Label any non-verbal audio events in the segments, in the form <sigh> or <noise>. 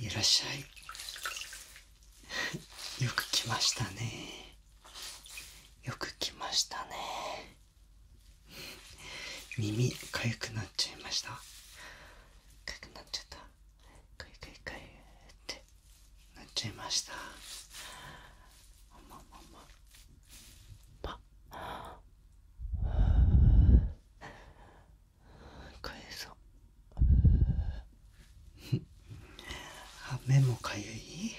いらっしゃい <laughs> よく来ましたねよく来ましたね耳かくなっちゃいましたかゆくなっちゃったかゆかゆかゆってっなっちゃいましたままかえそうあ目もかゆい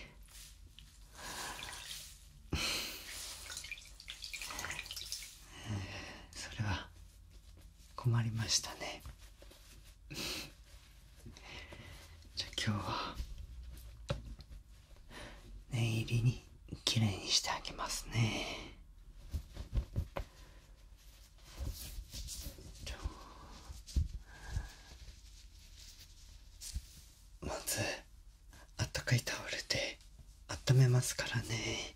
それは困りましたねじゃあ今日は念入りにきれいにしてあげますねまずあったかいタオルで温めますからね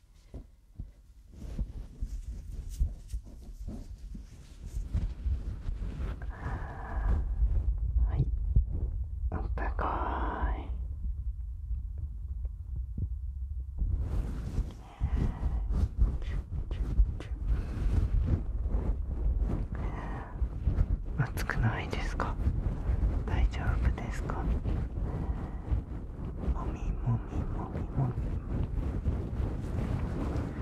はいあったかい暑くないですか大丈夫ですかもみもみもみもみ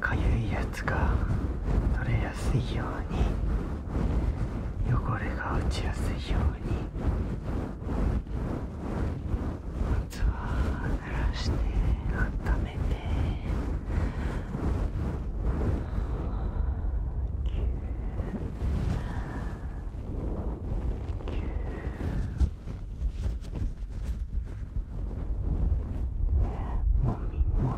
かゆいやつが取れやすいように汚れが落ちやすいように夏は濡らして温めてもみも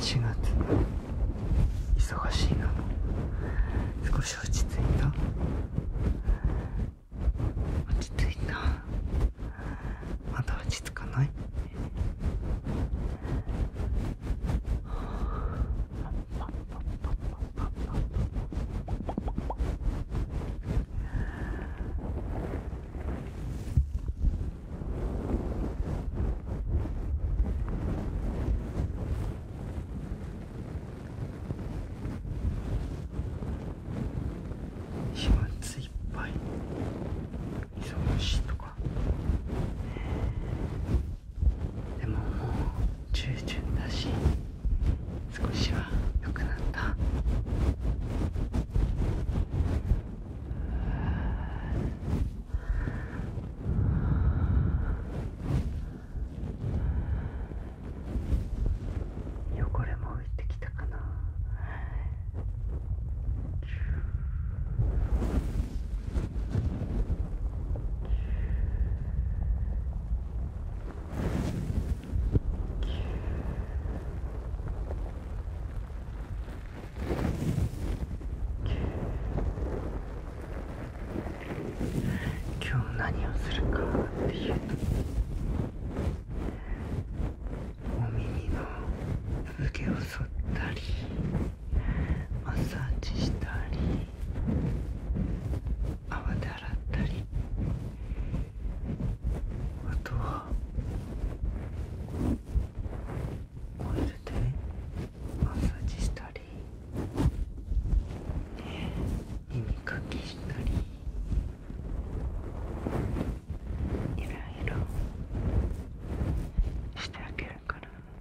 4月忙しいな少し落ち着いた落ち着いたまだ落ち着かない飛沫いっぱいでももう中旬だし少しは良くなった汚れも浮いてきたかな。今日何をするかっていうとお耳の産毛を剃ったり。マッサージしたり泡で洗ったりあとはオイルでマッサージしたり耳かきしたり。いろいろしてあげるから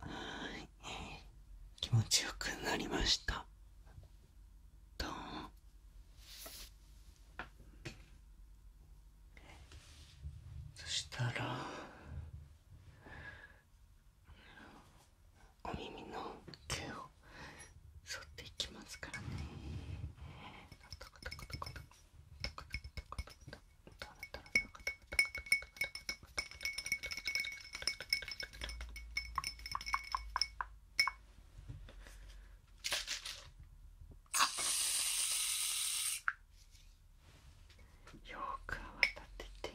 はい気持ちよくなりましたどそしたらお耳の毛を剃っていきますからね。トコトコトコトコよく泡立てて。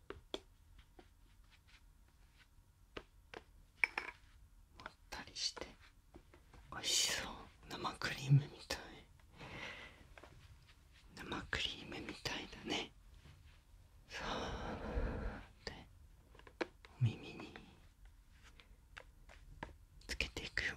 ったりして美味しそう生クリームみたい生クリームみたいだねさうでお耳につけていくよ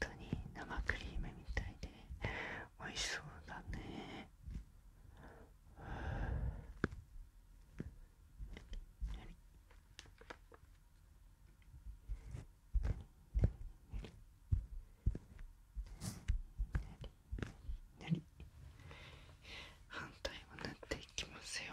当に生クリームみたいで美味しそうだね反対も塗っていきますよ。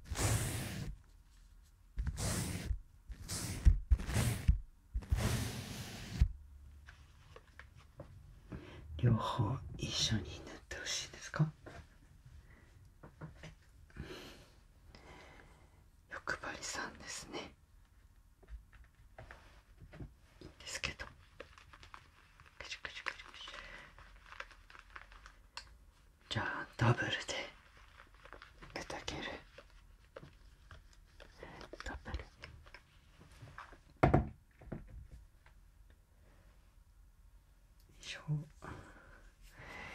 両方一緒に塗ってほしいですか欲張りさんですねですけどじゃあダブルで砕けるダブル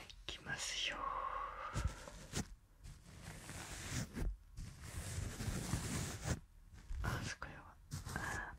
いきますよあそこやわ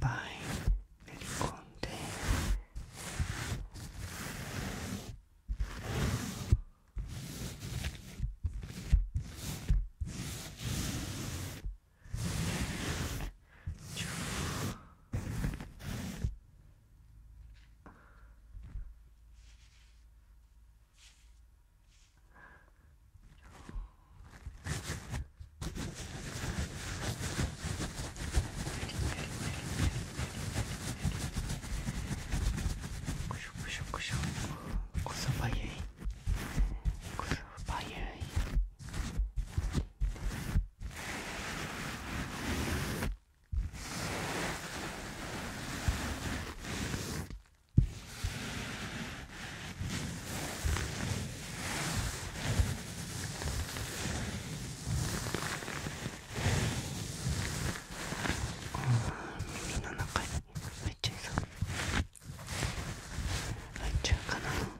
ぱい練り込んでこそばゆいこそばゆいあ耳の中に入っちゃいそう入っちゃうかな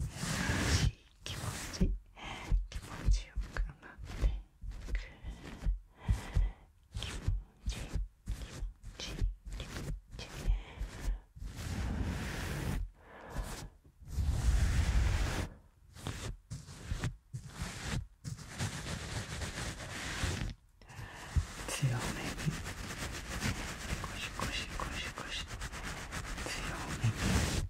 しい気持ち気持ちよくなっていく気持ち気持ち気持ち強めにゴシゴシゴシゴシ強めに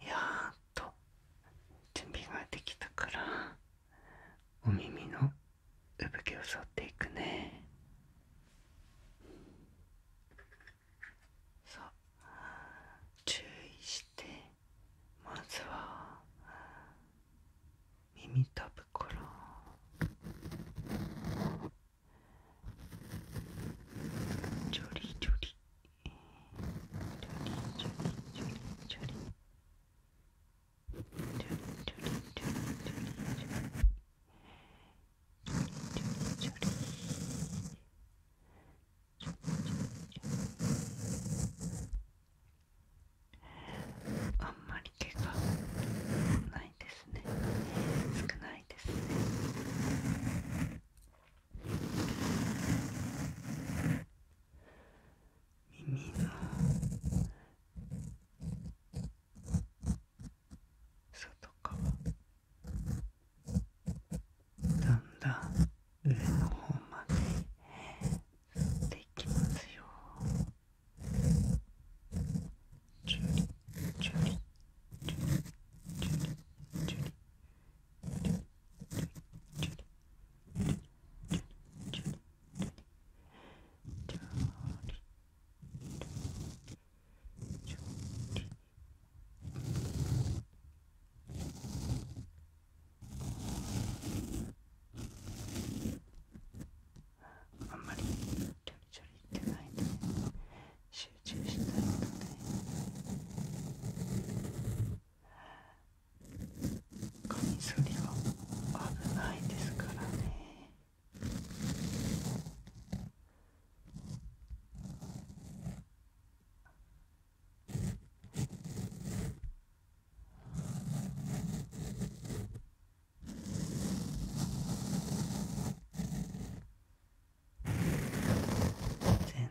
やっと準備ができたからお耳の産毛を剃っていくねさあ注意してまずは耳たぶからジョリジョリ。あんまり毛がないですね少ないですね耳の外側だんだん上の方まで吸っていきますよチュリチュリチュリあんまりちょりちょりってないので集中したいので。カミソリは危ないですからね全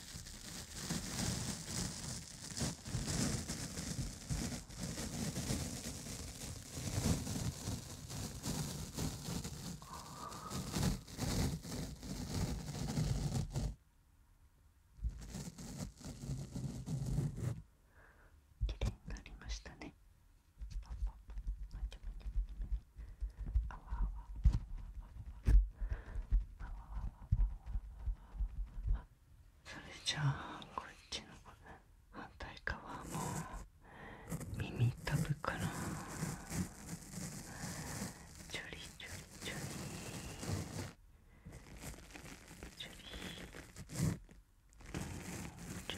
きれいになりましたね。あわそれじゃあこっちの反対側も耳たぶからちょりちょりちょりちょりちょり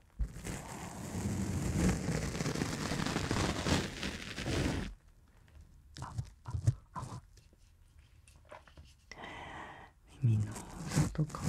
あああ耳の外かも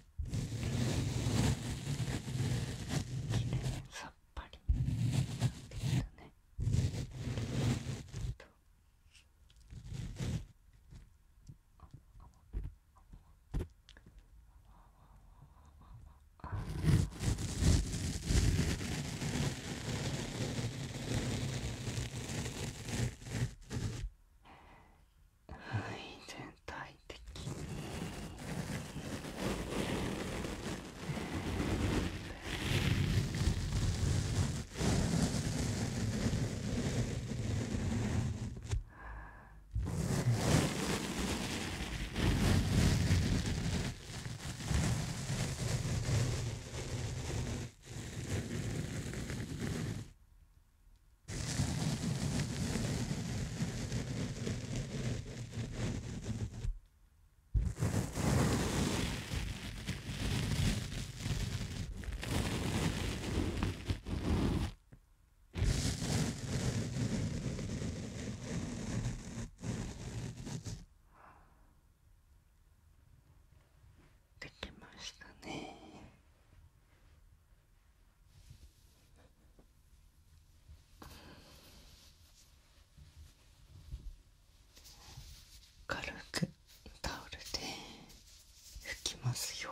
さっぱりなきたねはい全体的にできましたね。軽くタオルで拭きますよ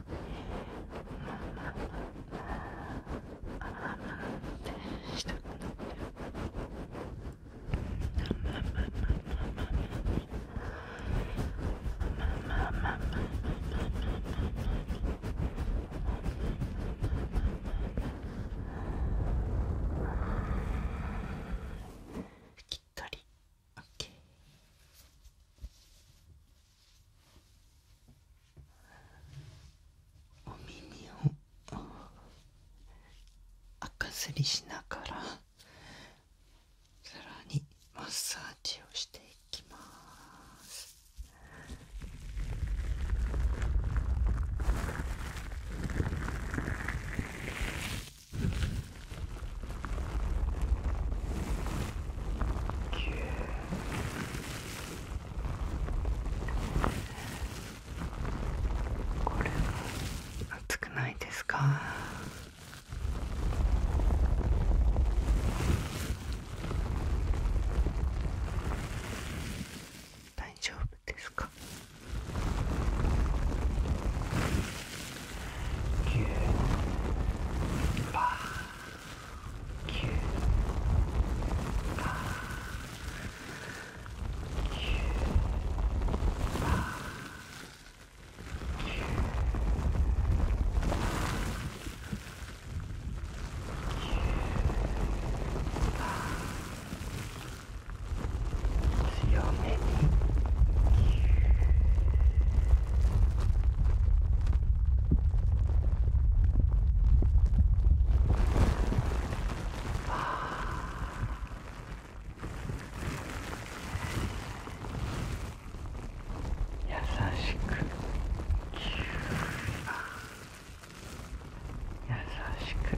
したくなってる。きっとり OK お耳をかすりしながらさらにマッサージをしていきますこれは熱くないですか大丈夫ですか。強めに。優しく優しく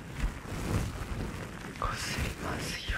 こすりますよ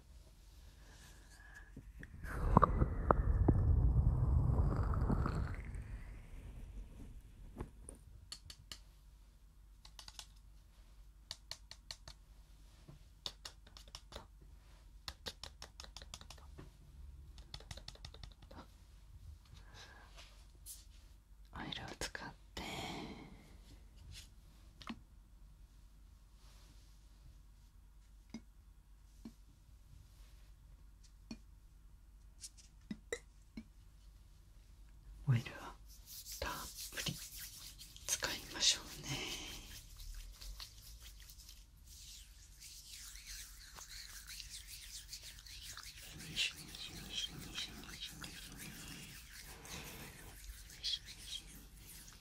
オイルを使ってオイルはたっぷり使いましょうね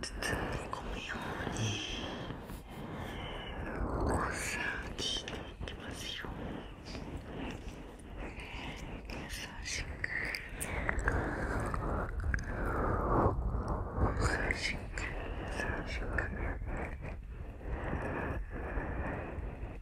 包み込むようにおさしていきますよ優しく優しく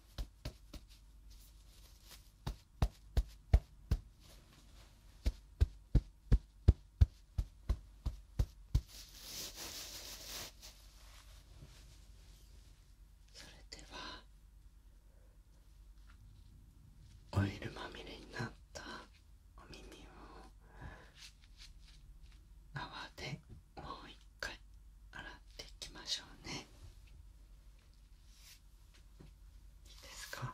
それではオイルまみれになったお耳を泡でもう一回洗っていきましょうねいいですか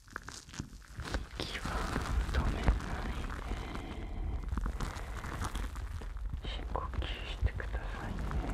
息は止めないで深呼吸してくださいね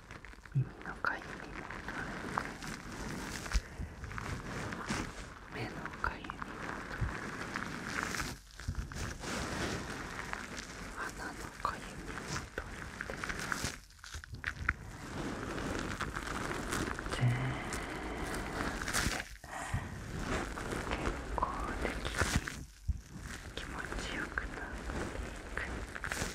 耳のかゆみも取れて目のかゆみも取れて鼻のかゆみも取れて全部健康的に気持ちよくなっていく。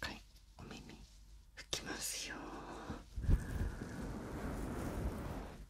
はいお耳拭きますよ。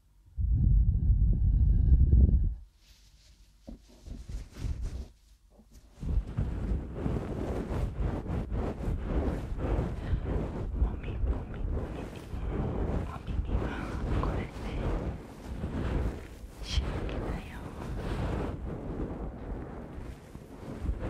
みもみもみお耳はこれでしぶきだよ耳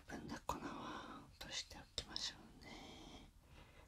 余分な粉は落としておきましょうね。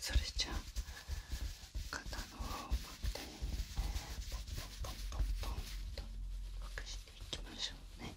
それじゃあ肩の方をバッテリーポンポンポンポンポンとほぐしていきましょうね。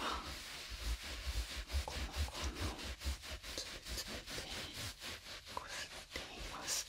はこのこのつぶつぶでこすっています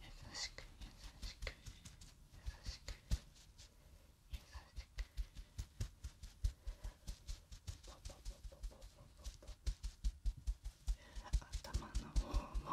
優しく優しく優しく優しく頭の方も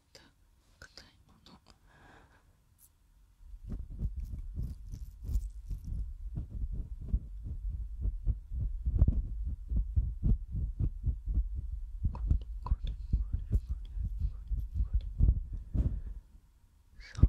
った硬いものそう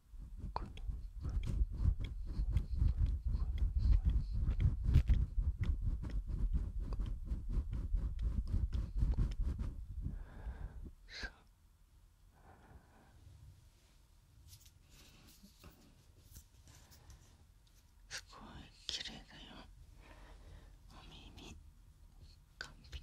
すごい綺麗だよお耳完璧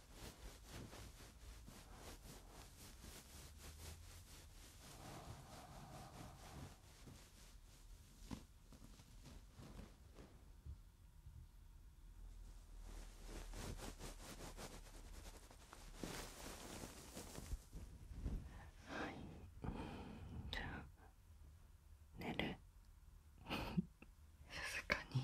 はいじゃあ寝るふふ、<laughs> 静かに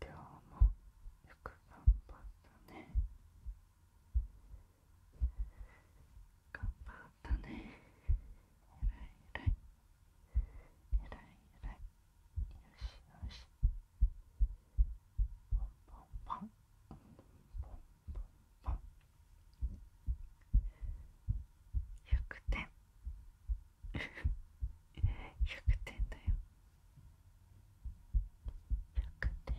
今日もよく頑張ったね頑張ったねえらいえいえらいえらいよしよしポンポンポン100点100点だよ100点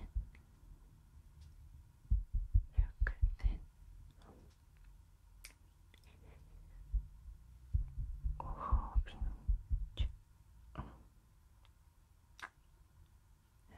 100点ご褒美のチュッねえ